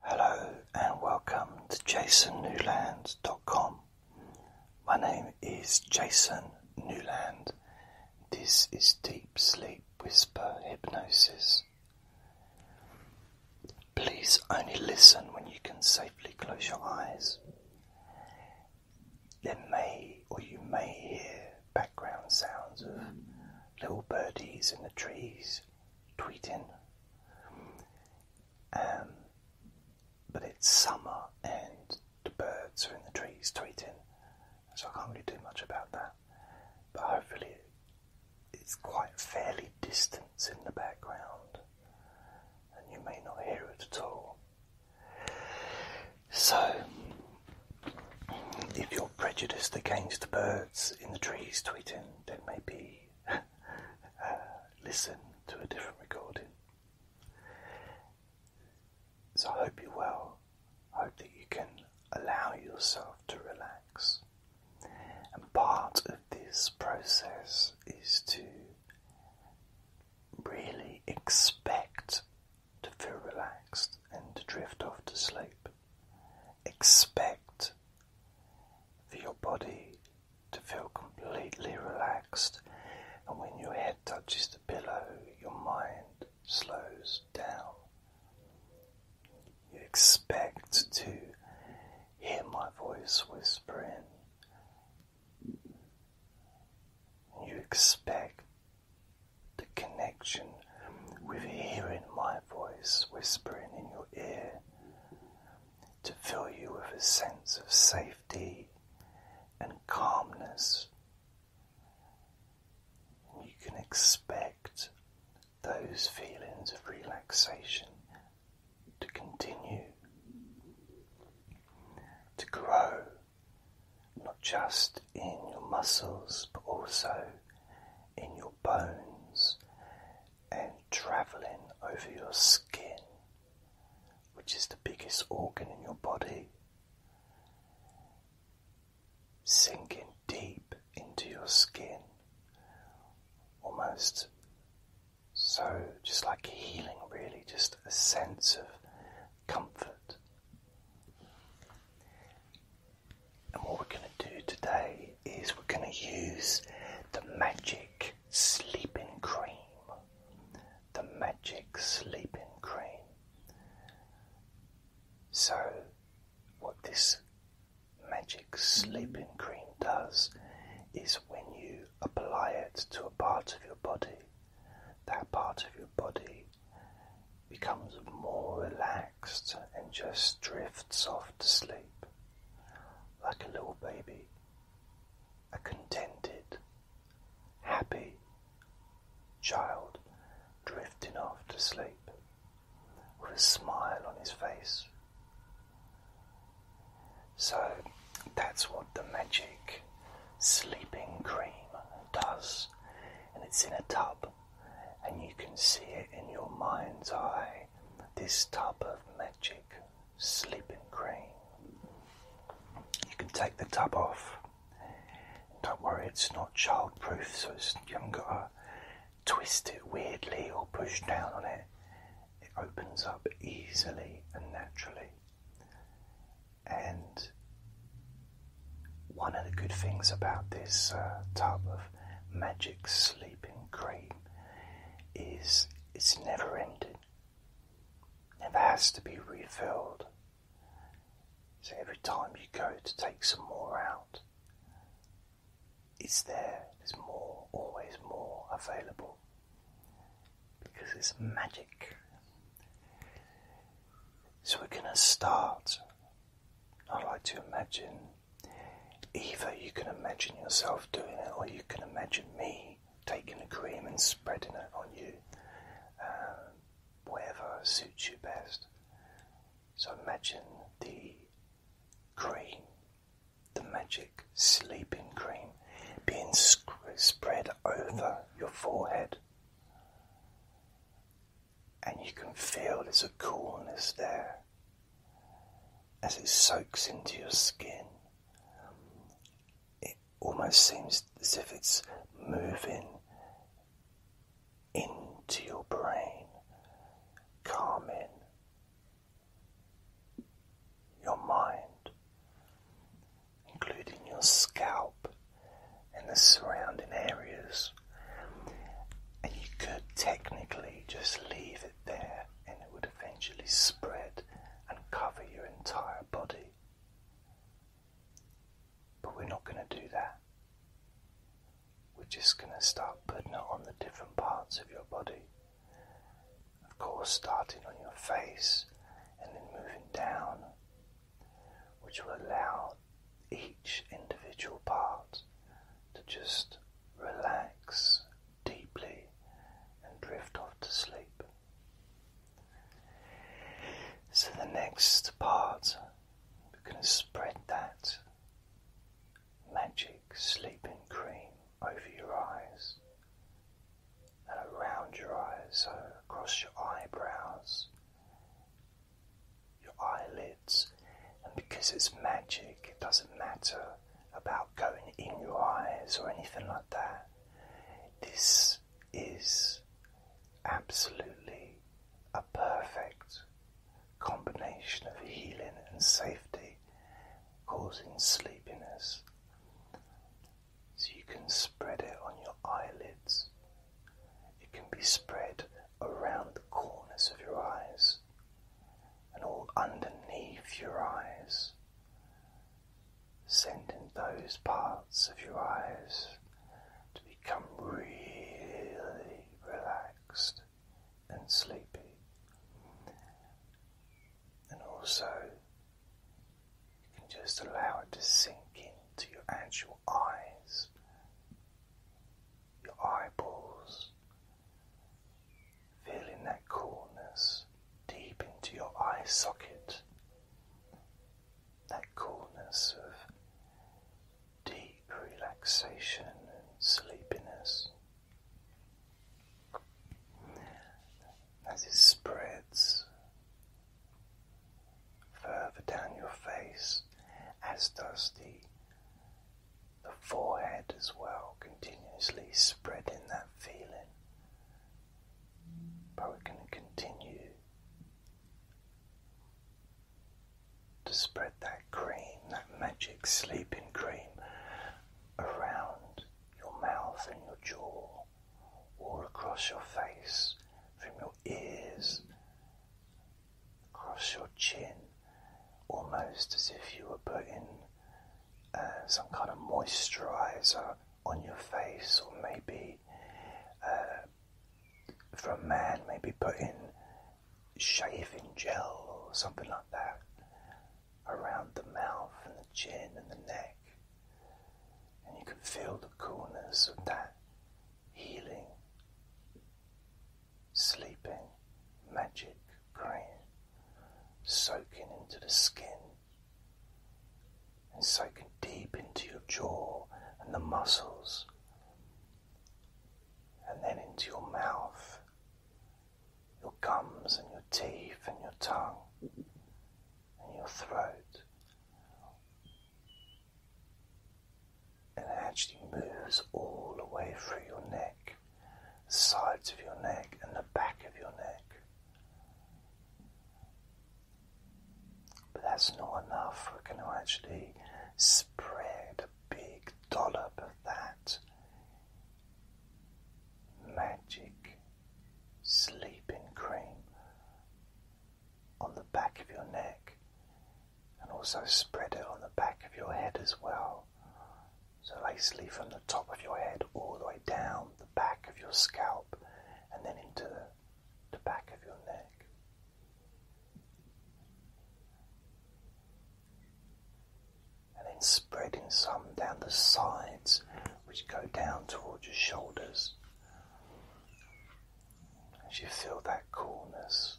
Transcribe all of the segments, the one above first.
Hello and welcome to jasonnewland.com. My name is Jason Newland. This is Deep Sleep Whisper Hypnosis. Please only listen when you can safely close your eyes. There may or you may hear background sounds of little birdies in the trees tweeting. Um, but it's summer and the birds are in the trees tweeting, so I can't really do much about that. But hopefully, it's quite fairly distant in the background, and you may not hear it at all. So, if you're prejudiced against the birds in the trees tweeting, then maybe listen to a different recording. So I hope you're well. I hope that you can allow yourself to relax. And part of this process is to really expect to feel relaxed and to drift off to sleep. Expect for your body to feel completely relaxed, and when your head touches the pillow, your mind slows down. You expect to hear my voice whispering. You expect the connection with hearing my voice whispering in your ear to fill you with a sense of safety and calmness. you can expect those feelings of relaxation to continue, to grow, not just in your muscles but also in your bones and traveling over your skin, which is the biggest organ in your body, sinking deep into your skin, almost so just like healing, really, just a sense of comfort. And what we're going to do today is we're going to use the magic sleeping cream. The magic sleeping cream. So, what this magic sleeping cream does is when you apply it to a part of your body, that part of your body becomes more relaxed and just drifts off to sleep like a little baby, a contented, happy child drifting off to sleep with a smile on his face. So that's what the magic sleeping cream does, and it's in a tub, and you can see it in your mind's eye this tub of magic sleeping cream. You can take the tub off. Don't worry, it's not childproof, so you haven't got to twist it weirdly or push down on it. It opens up easily and naturally. And one of the good things about this uh, tub of magic sleeping cream is it's never ended. never has to be refilled. So every time you go to take some more out, it's there, there's more, always more available because it's magic. So we're going to start. I like to imagine Either you can imagine yourself doing it, or you can imagine me taking the cream and spreading it on you. Um, whatever suits you best. So imagine the cream, the magic sleeping cream, being spread over your forehead. And you can feel there's a coolness there as it soaks into your skin. It almost seems as if it's moving into your brain, calming your mind, including your scalp and the surrounding areas. And you could technically just leave it there and it would eventually spread and cover your entire body. But we're not going to do that. We're just going to start putting it on the different parts of your body. Of course, starting on your face and then moving down, which will allow each individual part to just relax deeply and drift off to sleep. So, the next part, we're going to spread that magic sleeping cream over your eyes and around your eyes, so across your eyebrows, your eyelids and because it's magic, it doesn't matter about going in your eyes or anything like that. This is absolutely a perfect combination of healing and safety causing sleepiness. So you can spread it on your eyelids, it can be spread around the corners of your eyes and all underneath your eyes, Send in those parts of your eyes to become really relaxed and sleepy, and also you can just allow it to sink into your actual eyes, your eyeballs, feeling that coolness deep into your eye socket, that coolness of deep relaxation and sleepiness. As it spreads further down your face, as does the the forehead as well, continuously spreading that feeling. But we're going to continue to spread that cream, that magic sleeping cream, around your mouth and your jaw, all across your face, from your ears, across your chin almost as if you were putting uh, some kind of moisturizer on your face, or maybe uh, for a man, maybe putting shaving gel or something like that around the mouth and the chin and the neck. And you could feel the coolness of that healing sleeping magic cream soaking into the skin and soaking deep into your jaw and the muscles and then into your mouth, your gums and your teeth and your tongue and your throat. And it actually moves all the way through your neck. The sides of your neck and the back of your neck. But that's not enough. We're going to actually spread a big dollop of that magic sleeping cream on the back of your neck and also spread it on the back of your head as well. So, basically, from the top of your head all the way down the back of your scalp and then into the, back of your neck. And then spreading some down the sides, which go down towards your shoulders. As you feel that coolness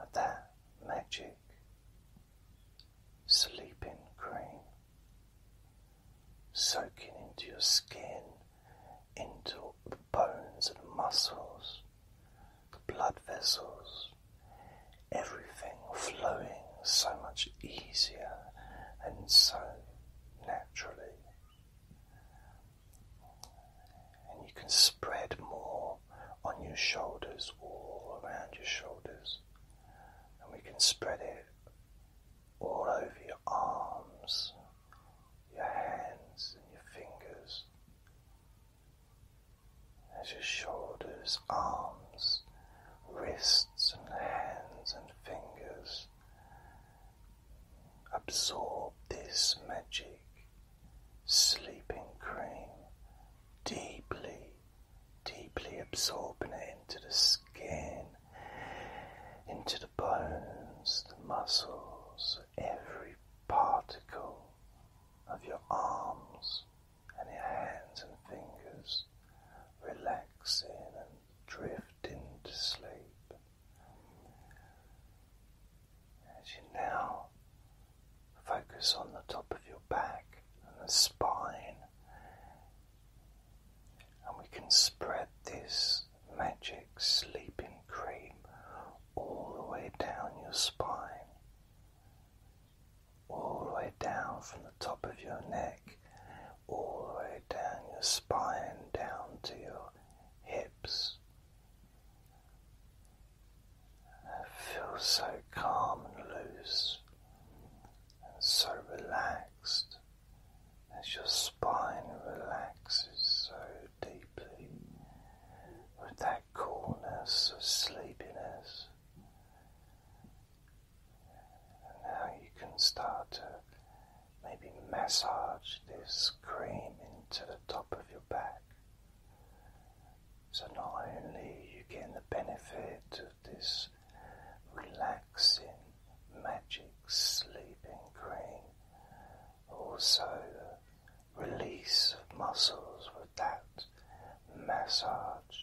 of that magic sleeping cream soaking into your skin, into the bones and muscles, the blood vessels, everything flowing so much easier and so naturally. And you can spread more on your shoulders, all around your shoulders, and we can spread it all over your arms, your hands, and your fingers. As your shoulders, arms, wrists, and hands and fingers absorb this magic sleeping cream, deeply, deeply absorbing into the skin, into the bones, the muscles, every particle of your arms and your hands and fingers, relaxing and drifting to sleep. As you now Focus on the top of your back and the spine, and we can spread this magic sleeping cream all the way down your spine, all the way down from the top of your neck, all the way down your spine, down to your hips feel so calm and loose and so relaxed as your spine relaxes so deeply with that coolness of sleepiness. And now you can start to maybe massage this cream into the top of your back. So not only are you getting the benefit of this relaxing magic sleeping cream, also the release muscles with that massage.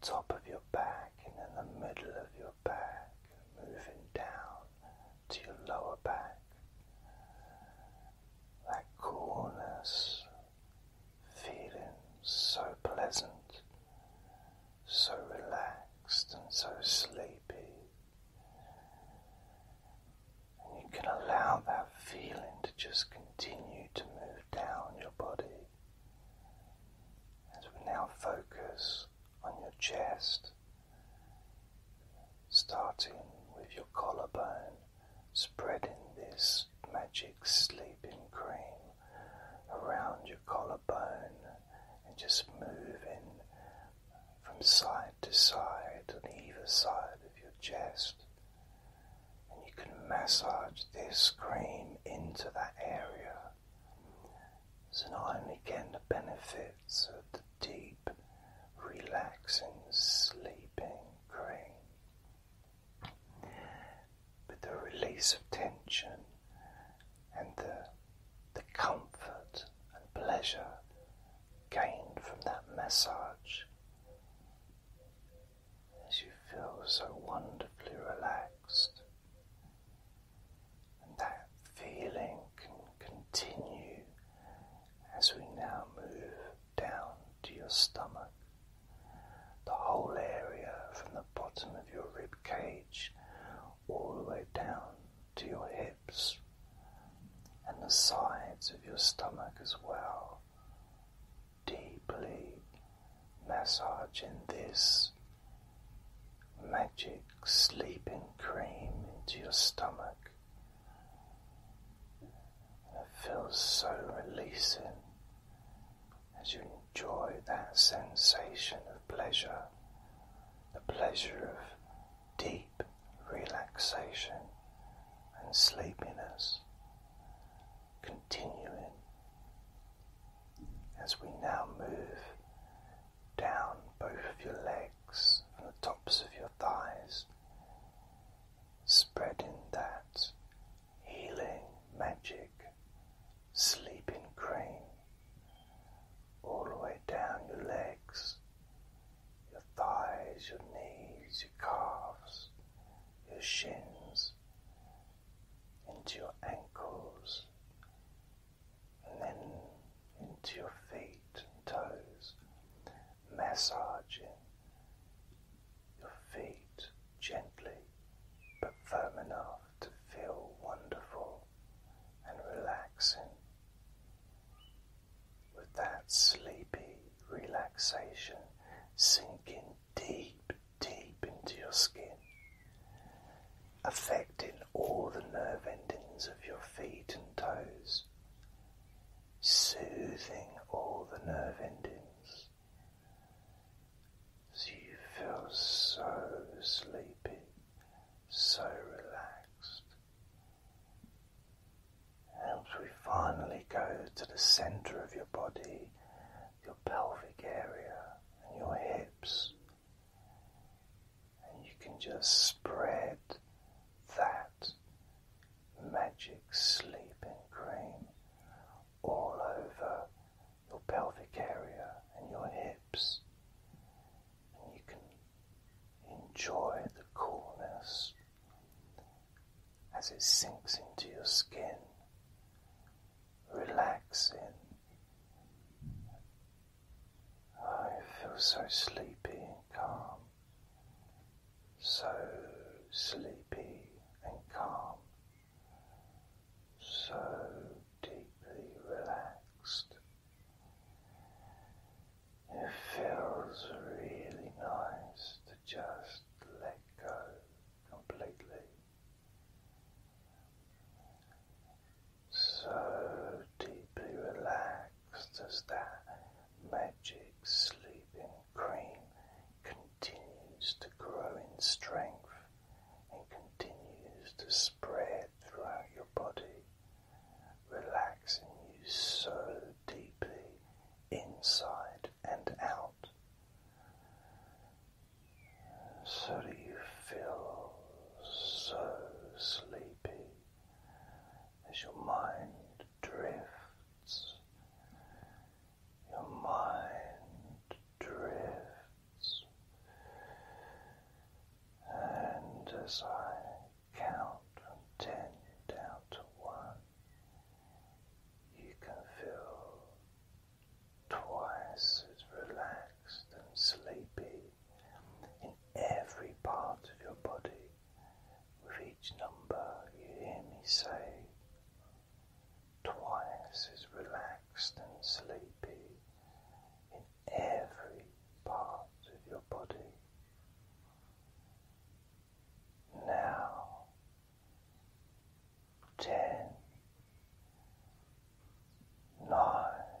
The top of your back and in the middle of your back, moving down to your lower back that coolness, feeling so pleasant, so relaxed, and so sleepy. And you can allow that feeling to just continue to move down your body as we now focus on your chest, starting with your collarbone spreading this magic sleeping cream around your collarbone and just moving from side to side on either side of your chest. And you can massage this cream into that area. So not only getting the benefits of the deep, relaxing, sleeping cream. With the release of tension and the, the comfort and pleasure gained from that massage, as you feel so wonderfully relaxed. And that feeling can continue as we now move down to your stomach. The whole area from the bottom of your rib cage all the way down to your hips and the sides of your stomach as well. Deeply massaging this magic sleeping cream into your stomach, it feels so releasing as you enjoy that sensation of pleasure, the pleasure of deep relaxation and sleepiness, continuing as we now move down both of your legs and the tops of your thighs spreading that healing magic sleeping cream all the way down your legs, your thighs, your knees, your calves, your shins, into your ankles, and then into your feet and toes massaging your feet gently but firm enough to feel wonderful and relaxing. With that sleepy relaxation sinking deep, deep into your skin, affecting all the nerve endings of your feet and toes soothing all the nerve endings. So you feel so sleepy, so relaxed. And we finally go to the center of your body, your pelvic area, and your hips. And you can just spread that magic sleeping cream all over your pelvic area and your hips, and you can enjoy the coolness as it sinks into your skin, relaxing. I feel so sleepy and calm so sleepy and calm, so deeply relaxed. It feels really nice to just let go completely. So deeply relaxed as that Magic Sleeping Cream continues to grow in strength and continues to spread throughout your body, relaxing you so deeply inside and out so do you feel so sleepy as your mind drifts your mind drifts, and as I count from ten down to one, you can feel twice as relaxed and sleepy in every part of your body. With each number, you hear me say, twice is relaxed and sleepy in every part of your body. Now, ten, nine,